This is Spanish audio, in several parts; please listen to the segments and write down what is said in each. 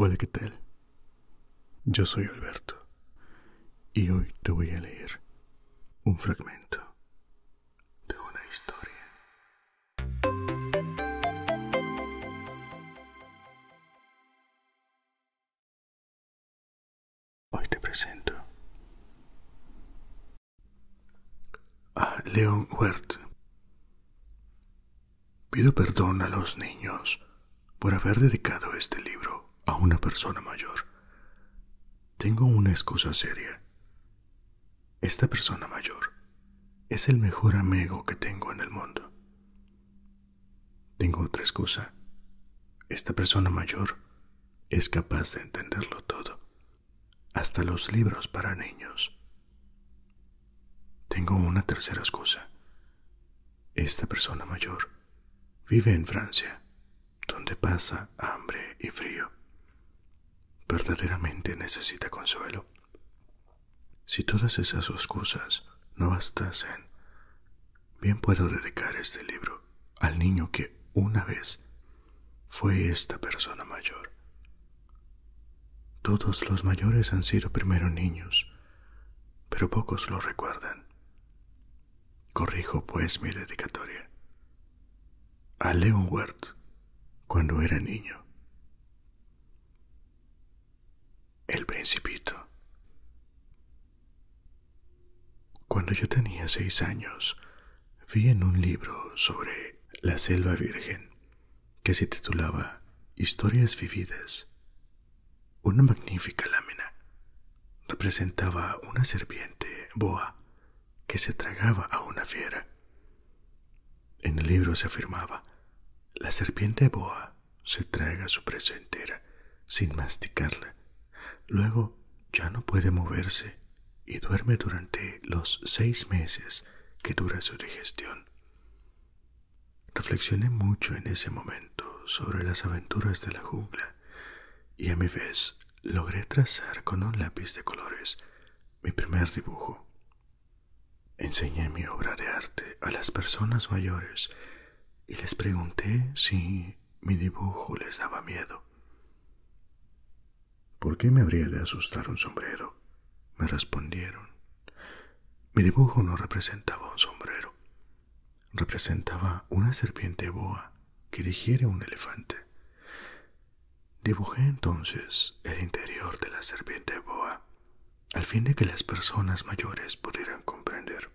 Hola, ¿qué tal? Yo soy Alberto y hoy te voy a leer un fragmento de una historia Hoy te presento a Leon Huert Pido perdón a los niños por haber dedicado este libro a una persona mayor. Tengo una excusa seria. Esta persona mayor es el mejor amigo que tengo en el mundo. Tengo otra excusa. Esta persona mayor es capaz de entenderlo todo, hasta los libros para niños. Tengo una tercera excusa. Esta persona mayor vive en Francia, donde pasa hambre y frío. Verdaderamente necesita consuelo. Si todas esas excusas no bastasen, bien puedo dedicar este libro al niño que una vez fue esta persona mayor. Todos los mayores han sido primero niños, pero pocos lo recuerdan. Corrijo pues mi dedicatoria a Leonward cuando era niño. El principito. Cuando yo tenía seis años, vi en un libro sobre la selva virgen que se titulaba Historias vividas. Una magnífica lámina representaba una serpiente boa que se tragaba a una fiera. En el libro se afirmaba, la serpiente boa se traga su presa entera, sin masticarla. Luego ya no puede moverse y duerme durante los seis meses que dura su digestión. Reflexioné mucho en ese momento sobre las aventuras de la jungla y a mi vez logré trazar con un lápiz de colores mi primer dibujo. Enseñé mi obra de arte a las personas mayores y les pregunté si mi dibujo les daba miedo. ¿Por qué me habría de asustar un sombrero? Me respondieron. Mi dibujo no representaba un sombrero. Representaba una serpiente boa que digiere un elefante. Dibujé entonces el interior de la serpiente boa, al fin de que las personas mayores pudieran comprender.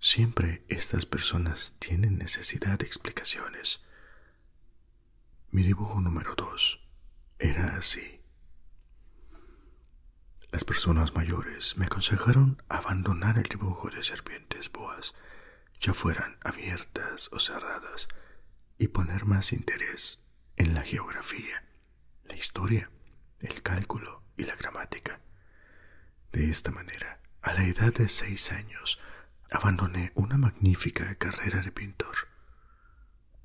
Siempre estas personas tienen necesidad de explicaciones. Mi dibujo número dos era así. Las personas mayores me aconsejaron abandonar el dibujo de serpientes boas ya fueran abiertas o cerradas, y poner más interés en la geografía, la historia, el cálculo y la gramática. De esta manera, a la edad de seis años, abandoné una magnífica carrera de pintor.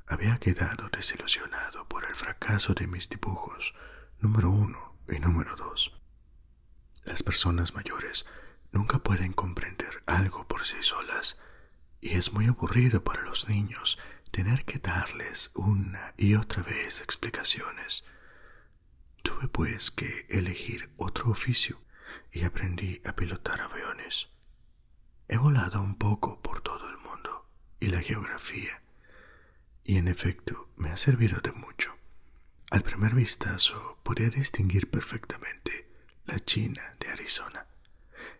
Había quedado desilusionado por el fracaso de mis dibujos número uno y número dos. Las personas mayores nunca pueden comprender algo por sí solas y es muy aburrido para los niños tener que darles una y otra vez explicaciones. Tuve pues que elegir otro oficio y aprendí a pilotar aviones. He volado un poco por todo el mundo y la geografía, y en efecto me ha servido de mucho. Al primer vistazo podía distinguir perfectamente la China de Arizona.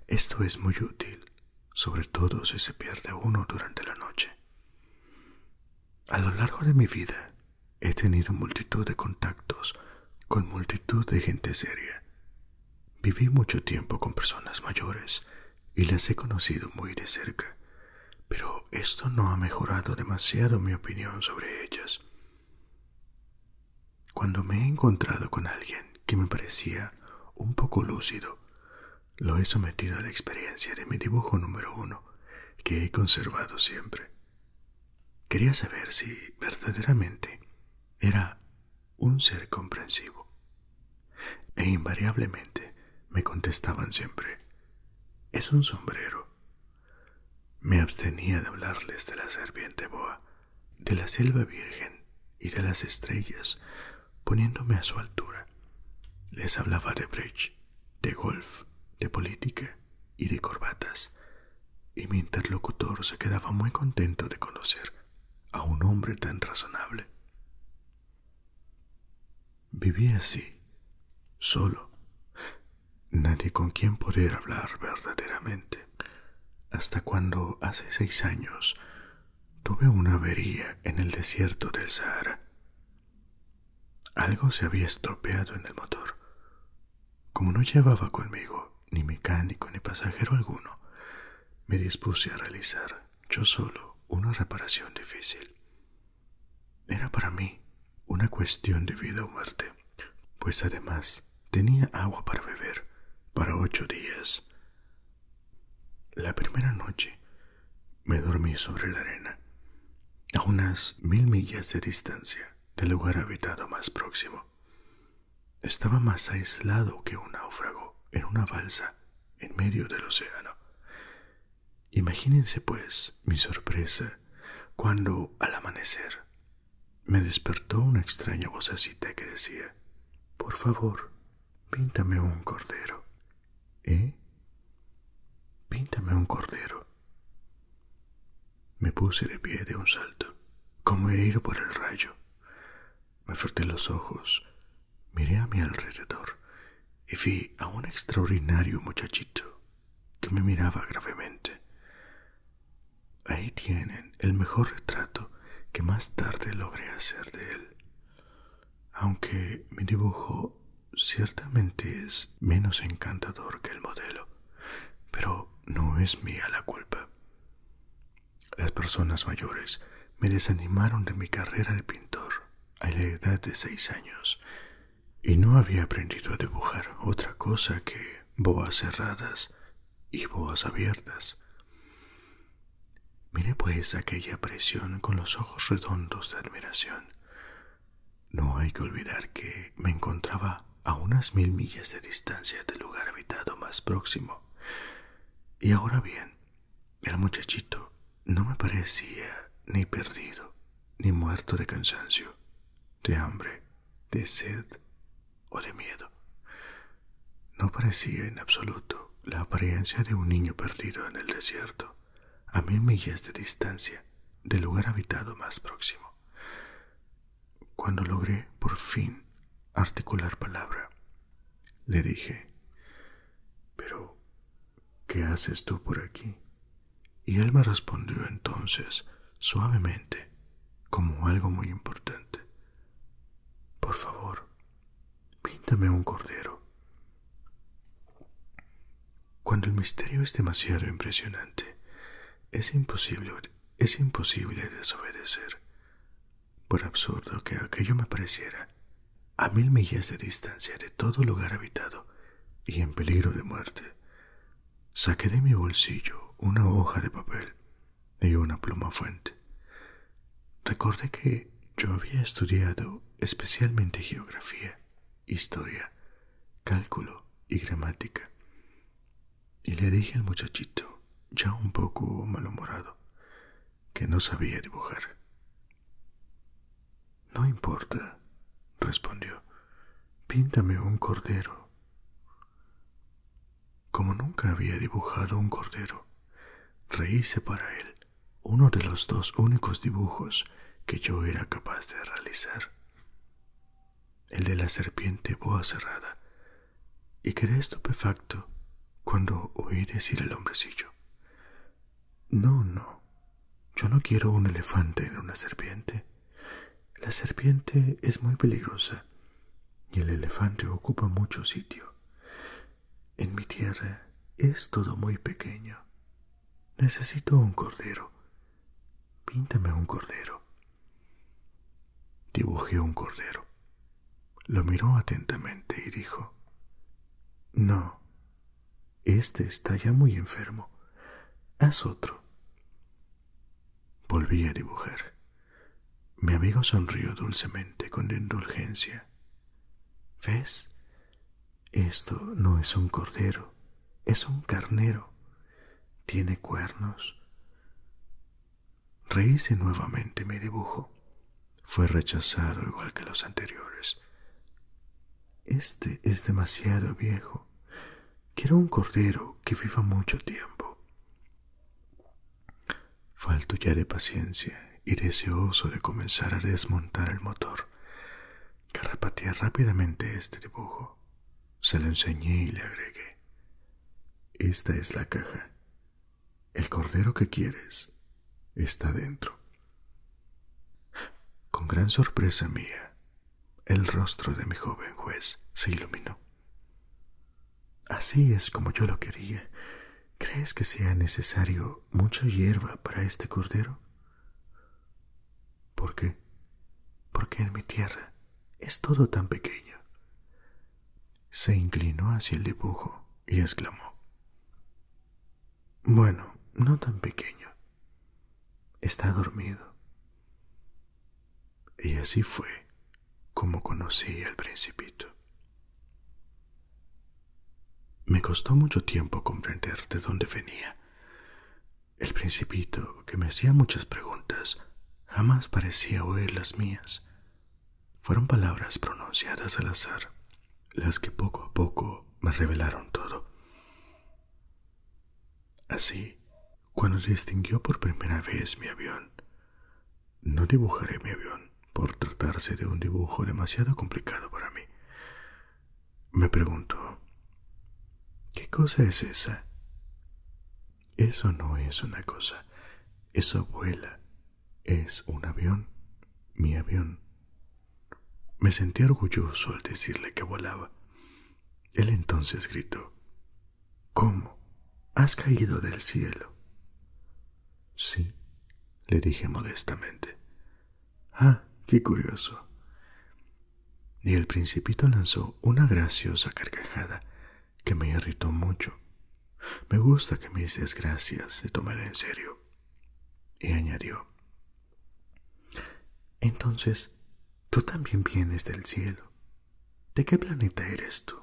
Esto es muy útil, sobre todo si se pierde uno durante la noche. A lo largo de mi vida he tenido multitud de contactos con multitud de gente seria. Viví mucho tiempo con personas mayores y las he conocido muy de cerca, pero esto no ha mejorado demasiado mi opinión sobre ellas. Cuando me he encontrado con alguien que me parecía un poco lúcido, lo he sometido a la experiencia de mi dibujo número uno, que he conservado siempre. Quería saber si verdaderamente era un ser comprensivo. E invariablemente me contestaban siempre, es un sombrero, me abstenía de hablarles de la serpiente boa, de la selva virgen y de las estrellas, poniéndome a su altura. Les hablaba de bridge, de golf, de política y de corbatas, y mi interlocutor se quedaba muy contento de conocer a un hombre tan razonable. Vivía así, solo, nadie con quien poder hablar verdaderamente. Hasta cuando hace seis años tuve una avería en el desierto del Sahara. Algo se había estropeado en el motor. Como no llevaba conmigo ni mecánico ni pasajero alguno, me dispuse a realizar yo solo una reparación difícil. Era para mí una cuestión de vida o muerte, pues además tenía agua para beber para ocho días. La primera noche me dormí sobre la arena, a unas mil millas de distancia del lugar habitado más próximo. Estaba más aislado que un náufrago en una balsa en medio del océano. Imagínense, pues, mi sorpresa cuando, al amanecer, me despertó una extraña vocecita que decía, Por favor, píntame un cordero. ¿Eh? Píntame un cordero. Me puse de pie de un salto, como herido por el rayo. Me froté los ojos, miré a mi alrededor y vi a un extraordinario muchachito que me miraba gravemente. Ahí tienen el mejor retrato que más tarde logré hacer de él, aunque mi dibujo ciertamente es menos encantador que el modelo, pero no es mía la culpa. Las personas mayores me desanimaron de mi carrera de pintor a la edad de seis años y no había aprendido a dibujar otra cosa que boas cerradas y boas abiertas. Mire pues aquella presión con los ojos redondos de admiración. No hay que olvidar que me encontraba a unas mil millas de distancia del lugar habitado más próximo. Y ahora bien, el muchachito no me parecía ni perdido ni muerto de cansancio, de hambre, de sed o de miedo. No parecía en absoluto la apariencia de un niño perdido en el desierto, a mil millas de distancia del lugar habitado más próximo. Cuando logré por fin articular palabra, le dije, pero, ¿qué haces tú por aquí? Y él me respondió entonces suavemente, como algo muy importante. Por favor, píntame un cordero. Cuando el misterio es demasiado impresionante, es imposible, es imposible desobedecer. Por absurdo que aquello me pareciera, a mil millas de distancia de todo lugar habitado y en peligro de muerte, Saqué de mi bolsillo una hoja de papel y una pluma fuente. Recordé que yo había estudiado especialmente geografía, historia, cálculo y gramática. Y le dije al muchachito, ya un poco malhumorado, que no sabía dibujar. No importa, respondió. Píntame un cordero. Como nunca había dibujado un cordero, reíse para él uno de los dos únicos dibujos que yo era capaz de realizar. El de la serpiente boa cerrada. Y quedé estupefacto cuando oí decir el hombrecillo. No, no, yo no quiero un elefante en una serpiente. La serpiente es muy peligrosa y el elefante ocupa mucho sitio. En mi tierra es todo muy pequeño. Necesito un cordero. Píntame un cordero. Dibujé un cordero. Lo miró atentamente y dijo, No, este está ya muy enfermo. Haz otro. Volví a dibujar. Mi amigo sonrió dulcemente con indulgencia. ¿Ves? Esto no es un cordero, es un carnero. Tiene cuernos. Reíse nuevamente mi dibujo. Fue rechazado igual que los anteriores. Este es demasiado viejo. Quiero un cordero que viva mucho tiempo. Falto ya de paciencia y deseoso de comenzar a desmontar el motor, que rápidamente este dibujo. Se lo enseñé y le agregué. Esta es la caja. El cordero que quieres está dentro. Con gran sorpresa mía, el rostro de mi joven juez se iluminó. Así es como yo lo quería. ¿Crees que sea necesario mucha hierba para este cordero? ¿Por qué? Porque en mi tierra es todo tan pequeño. Se inclinó hacia el dibujo y exclamó. Bueno, no tan pequeño, Está dormido. Y así fue como conocí al principito. Me costó mucho tiempo comprender de dónde venía. El principito, que me hacía muchas preguntas, jamás parecía oír las mías. Fueron palabras pronunciadas al azar las que poco a poco me revelaron todo. Así, cuando distinguió por primera vez mi avión, no dibujaré mi avión por tratarse de un dibujo demasiado complicado para mí. Me preguntó, ¿qué cosa es esa? Eso no es una cosa, eso vuela, es un avión, mi avión. Me sentí orgulloso al decirle que volaba. Él entonces gritó, ¿Cómo? ¿Has caído del cielo? Sí, le dije modestamente. Ah, qué curioso. Y el principito lanzó una graciosa carcajada que me irritó mucho. Me gusta que mis desgracias se tomen en serio. Y añadió, entonces, tú también vienes del cielo. ¿De qué planeta eres tú?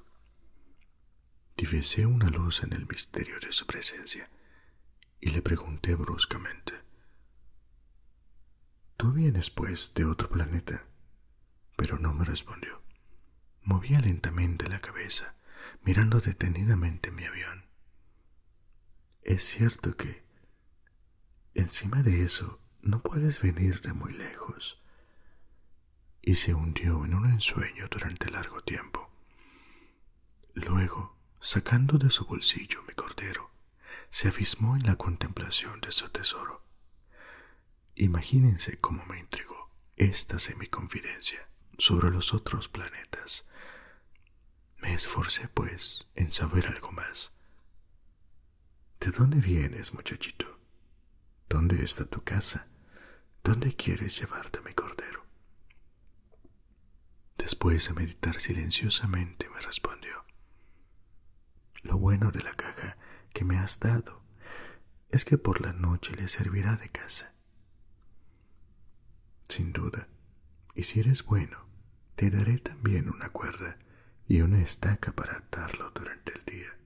Divisé una luz en el misterio de su presencia y le pregunté bruscamente. Tú vienes, pues, de otro planeta. Pero no me respondió. Movía lentamente la cabeza, mirando detenidamente mi avión. Es cierto que, encima de eso, no puedes venir de muy lejos. Y se hundió en un ensueño durante largo tiempo. Luego, sacando de su bolsillo mi cordero, se afismó en la contemplación de su tesoro. Imagínense cómo me intrigó esta semiconfidencia sobre los otros planetas. Me esforcé, pues, en saber algo más. ¿De dónde vienes, muchachito? ¿Dónde está tu casa? ¿Dónde quieres llevarte, mi cordero? Después de meditar silenciosamente me respondió. Lo bueno de la caja que me has dado es que por la noche le servirá de casa. Sin duda, y si eres bueno, te daré también una cuerda y una estaca para atarlo durante el día.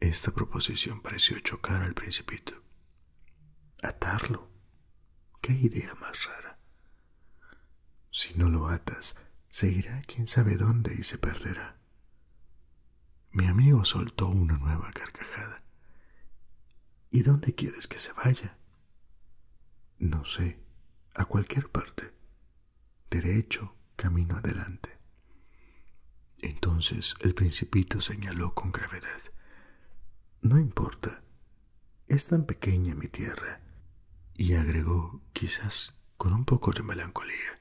Esta proposición pareció chocar al principito. ¿Atarlo? ¿Qué idea más rara? Si no lo atas, seguirá irá quién sabe dónde y se perderá. Mi amigo soltó una nueva carcajada. ¿Y dónde quieres que se vaya? No sé, a cualquier parte. Derecho, camino adelante. Entonces el principito señaló con gravedad. No importa. Es tan pequeña mi tierra. Y agregó, quizás con un poco de melancolía.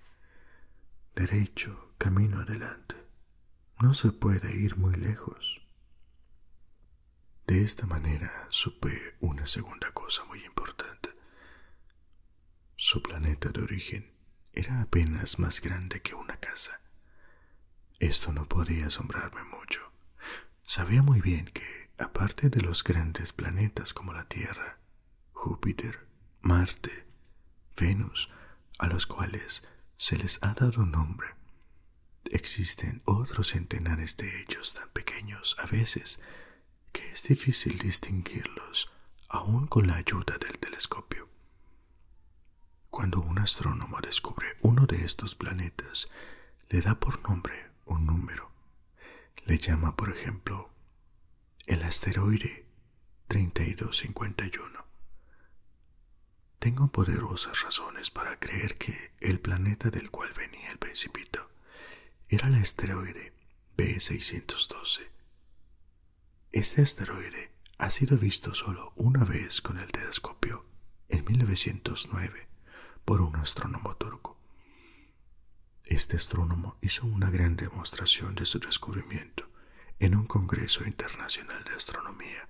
Derecho, camino adelante no se puede ir muy lejos. De esta manera supe una segunda cosa muy importante. Su planeta de origen era apenas más grande que una casa. Esto no podía asombrarme mucho. Sabía muy bien que, aparte de los grandes planetas como la Tierra, Júpiter, Marte, Venus, a los cuales se les ha dado nombre. Existen otros centenares de ellos tan pequeños a veces que es difícil distinguirlos aun con la ayuda del telescopio. Cuando un astrónomo descubre uno de estos planetas, le da por nombre un número. Le llama, por ejemplo, el asteroide 3251. Tengo poderosas razones para creer que el planeta del cual venía el principito era el asteroide B612. Este asteroide ha sido visto solo una vez con el telescopio en 1909 por un astrónomo turco. Este astrónomo hizo una gran demostración de su descubrimiento en un Congreso Internacional de Astronomía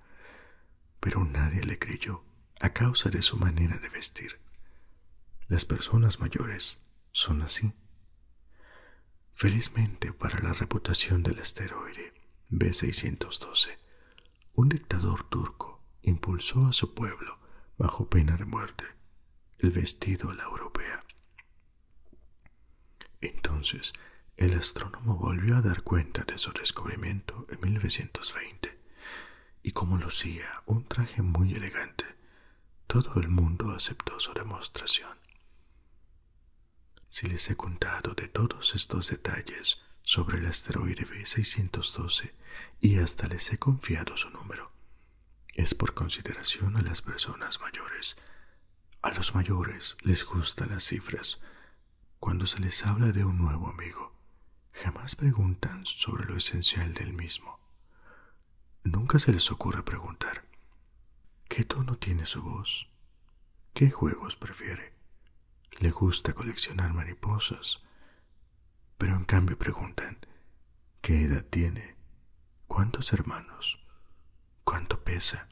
pero nadie le creyó a causa de su manera de vestir. Las personas mayores son así. Felizmente para la reputación del asteroide B612, un dictador turco impulsó a su pueblo, bajo pena de muerte, el vestido a la europea. Entonces, el astrónomo volvió a dar cuenta de su descubrimiento en 1920, y como lucía un traje muy elegante, todo el mundo aceptó su demostración. Si les he contado de todos estos detalles sobre el asteroide B612 y hasta les he confiado su número, es por consideración a las personas mayores. A los mayores les gustan las cifras, cuando se les habla de un nuevo amigo, jamás preguntan sobre lo esencial del mismo. Nunca se les ocurre preguntar ¿Qué tono tiene su voz? ¿Qué juegos prefiere? Le gusta coleccionar mariposas, pero en cambio preguntan ¿Qué edad tiene? ¿Cuántos hermanos? ¿Cuánto pesa?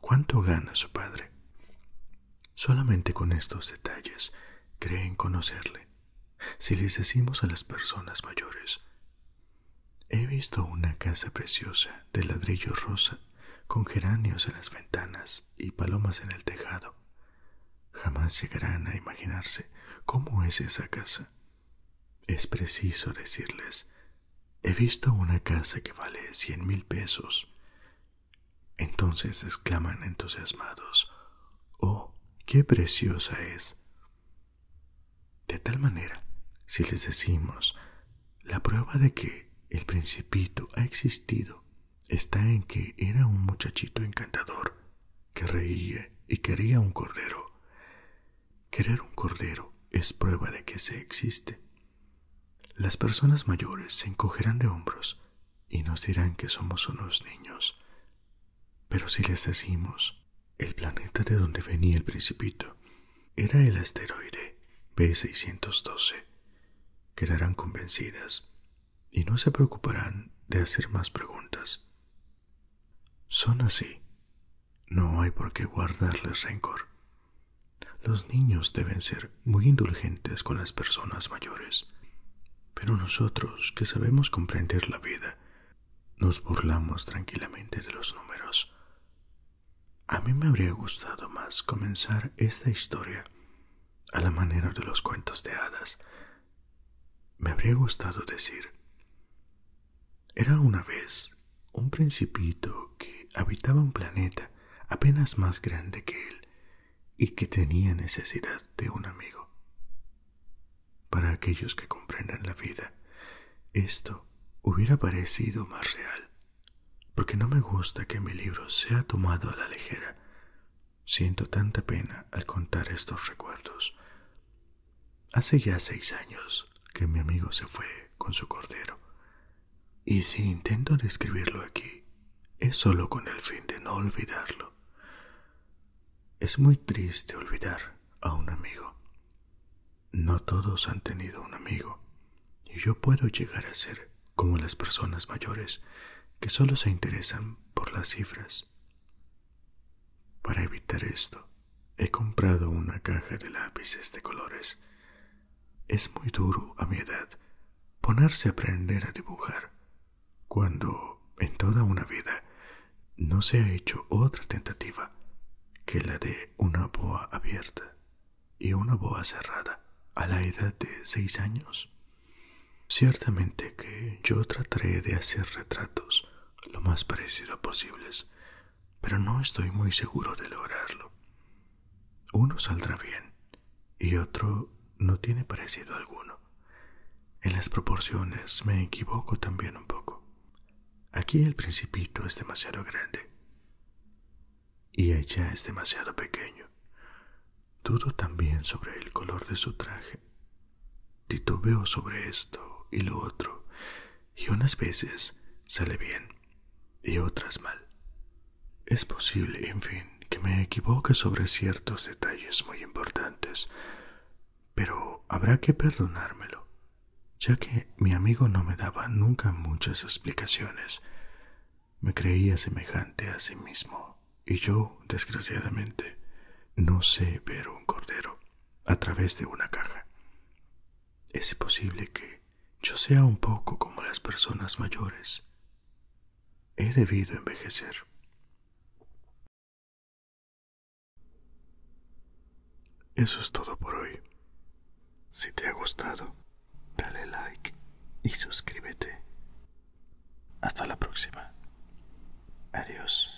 ¿Cuánto gana su padre? Solamente con estos detalles creen conocerle. Si les decimos a las personas mayores, he visto una casa preciosa de ladrillo rosa, con geranios en las ventanas y palomas en el tejado. Jamás llegarán a imaginarse cómo es esa casa. Es preciso decirles He visto una casa que vale cien mil pesos. Entonces exclaman entusiasmados, ¡Oh, qué preciosa es! De tal manera, si les decimos, la prueba de que el principito ha existido está en que era un muchachito encantador que reía y quería un cordero. Querer un cordero es prueba de que se existe. Las personas mayores se encogerán de hombros y nos dirán que somos unos niños. Pero si les decimos, el planeta de donde venía el principito era el asteroide B612, quedarán convencidas y no se preocuparán de hacer más preguntas. Son así. No hay por qué guardarles rencor. Los niños deben ser muy indulgentes con las personas mayores, pero nosotros que sabemos comprender la vida, nos burlamos tranquilamente de los números. A mí me habría gustado más comenzar esta historia a la manera de los cuentos de hadas. Me habría gustado decir, era una vez un principito que habitaba un planeta apenas más grande que él y que tenía necesidad de un amigo. Para aquellos que comprendan la vida, esto hubiera parecido más real, porque no me gusta que mi libro sea tomado a la ligera. Siento tanta pena al contar estos recuerdos. Hace ya seis años que mi amigo se fue con su cordero. Y si intento describirlo aquí, es solo con el fin de no olvidarlo. Es muy triste olvidar a un amigo. No todos han tenido un amigo, y yo puedo llegar a ser como las personas mayores que solo se interesan por las cifras. Para evitar esto, He comprado una caja de lápices de colores. Es muy duro a mi edad ponerse a aprender a dibujar, cuando en toda una vida no se ha hecho otra tentativa que la de una boa abierta y una boa cerrada a la edad de seis años. Ciertamente que yo trataré de hacer retratos lo más parecido posibles pero no estoy muy seguro de lograrlo. Uno saldrá bien y otro no tiene parecido alguno. En las proporciones me equivoco también un poco. Aquí el principito es demasiado grande y ella es demasiado pequeño. Dudo también sobre el color de su traje. Titubeo sobre esto y lo otro, y unas veces sale bien y otras mal. Es posible, en fin, que me equivoque sobre ciertos detalles muy importantes, pero habrá que perdonármelo, ya que mi amigo no me daba nunca muchas explicaciones. Me creía semejante a sí mismo, y yo, desgraciadamente, no sé ver un cordero a través de una caja. Es posible que yo sea un poco como las personas mayores. He debido envejecer. Eso es todo por hoy. Si te ha gustado, dale like y suscríbete. Hasta la próxima. Adiós.